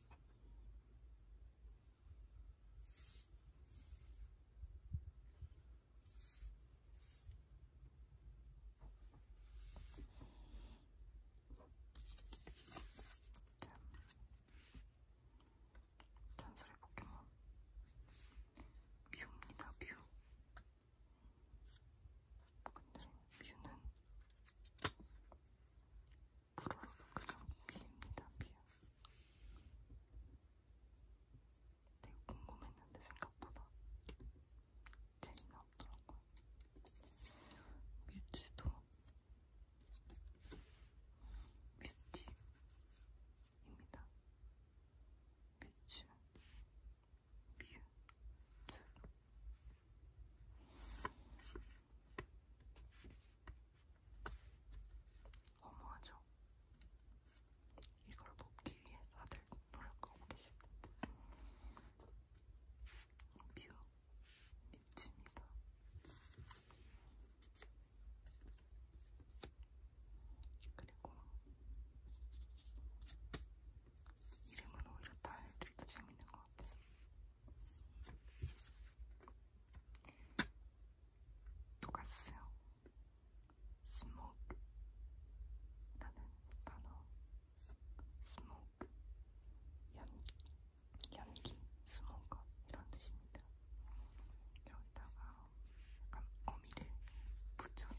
잔소리 포켓몬 뷰입니다 뷰 근데 뷰는 불어로 그냥 뷰입니다, 뷰. 되게 궁금했는데 생각보다 재미나 없더라고요. 뮤지도 뮤티입니다. 뮤츠 허무하죠? 이걸 뽑기 위해 다들 노력하고 계십니다. 뷰 뮤츠입니다. 그리고 이름은 오히려 다른 애들이 더 재밌는 것 같아요. 똑같았어요. smoke라는 단어, smoke, 연기, 연기, smoke 이런 뜻입니다. 여기다가 약간 어미를 붙여서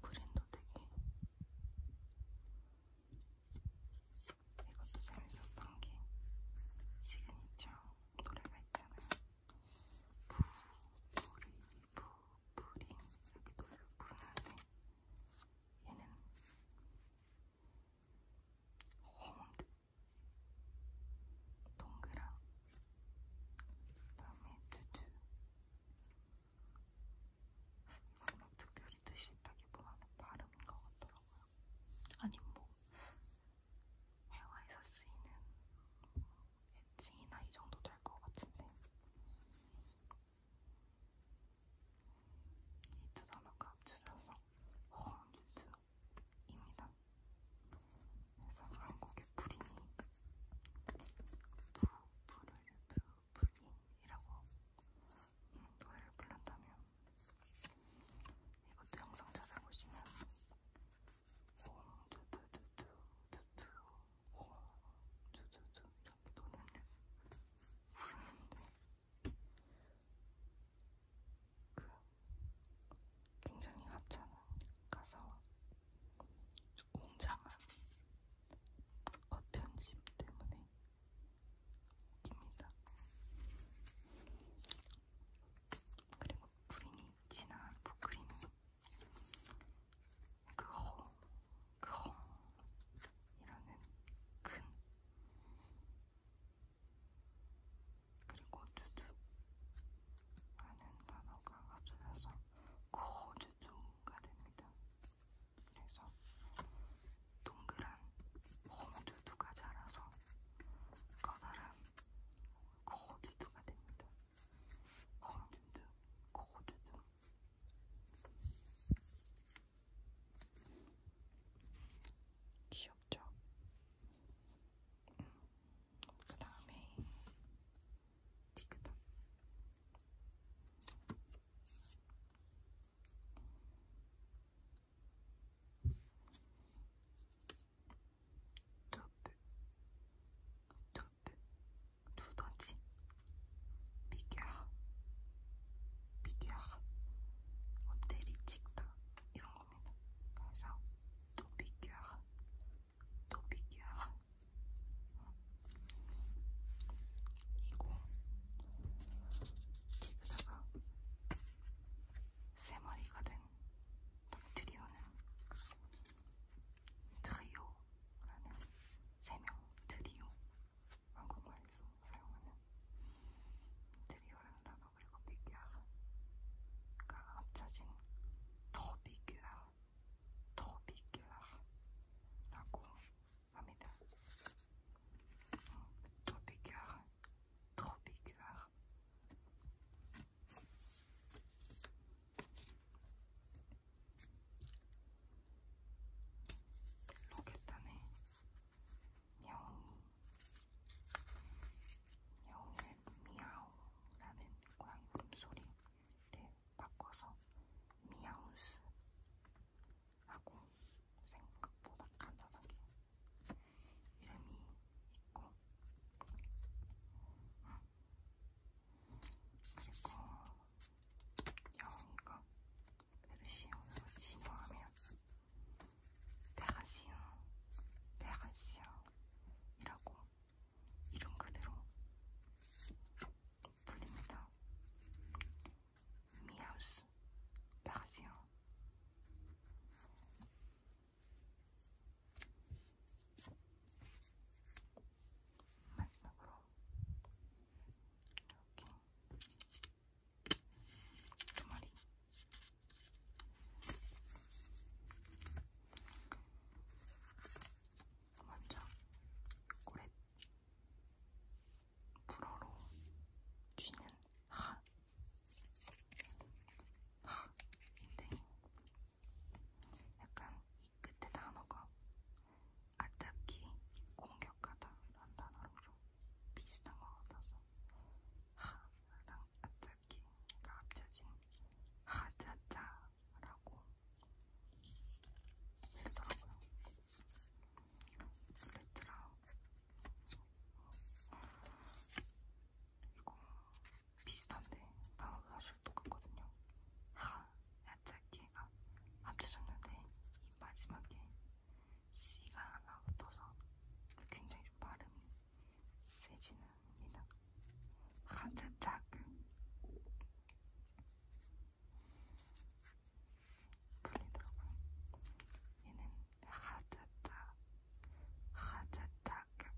그린도 되게 이것도 재밌었던 게 시그니처 노래가 있잖아요. 부부리 부부리 이렇게 노래를 부르는데 얘는 홍드 동그랑 그다음에 두두 이거 막 특별히 뜻이 있다기보다는 발음인 것 같더라고요. 아니 뭐 회화에서 쓰이는 엣지나 이 정도 될 것 같은데 이 두 단어가 합쳐져서 허언주스입니다. 그래서 한국의 불인이 부부를부부이라고 노래를 불렀다면 이것도 영상 찾아보시면 홍두두두두두두 홍두두두 이렇게 노래를 부르는데 그 굉장히 하찮은 가사와 웅장한 겉편심 때문에 웃깁니다. 그리고 프린이 진한 포크림 그홍, 그홍 이라는 큰 그리고 두두 많은 단어가 합쳐져서 거주종가 됩니다. 그래서 동그란 거주두가 자라서 커다란 거주두가 됩니다. 거주두, 거주두. 귀엽죠? 음, 그 다음에 두더지 비겨 비겨 호텔이 찍다 이런 겁니다. 그래서 또 비겨 토픽이야. 이거 여기다가 세 마리가 된 박트리오는 트리오라는 세명 트리오 한국말로 사용하는 트리오를 다가 어, 그리고 비귤가 합쳐진 더 비귤라, 더 비귤라라고 합니다. 음, 더 비귤, 더 비귤. 로켓단에 야옹이 야옹이를 미야오라는 고양이 울음소리를 바꿔서 미야우스 하고 생각보다 간단하게 이름이 있고 아, 그리고 영이가 페르시어로 진화하면 대가시흥, 대가시흥이라고 이름 그대로 불립니다. 미하우스, 대가시흥. 마지막으로 이렇게 두 마리 먼저 고래 불어로 쥐는 하, 하, 인데 약간 이 끝에 단어가 아깝기 공격하다라는 단어로 좀 비슷한 것 같아서 하랑 반짝이가 합쳐진 하자자라고 이러더라고요. 그랬더라. 이거 비슷한데 단어도 사실 똑같거든요. 하, 야자기가 합쳐졌는데 이 마지막에 C가 하나 붙어서 굉장히 좀 발음이 세지는 않습니다. 한자 작은 불리더라고요. 얘는 하자다, 하자다입니다.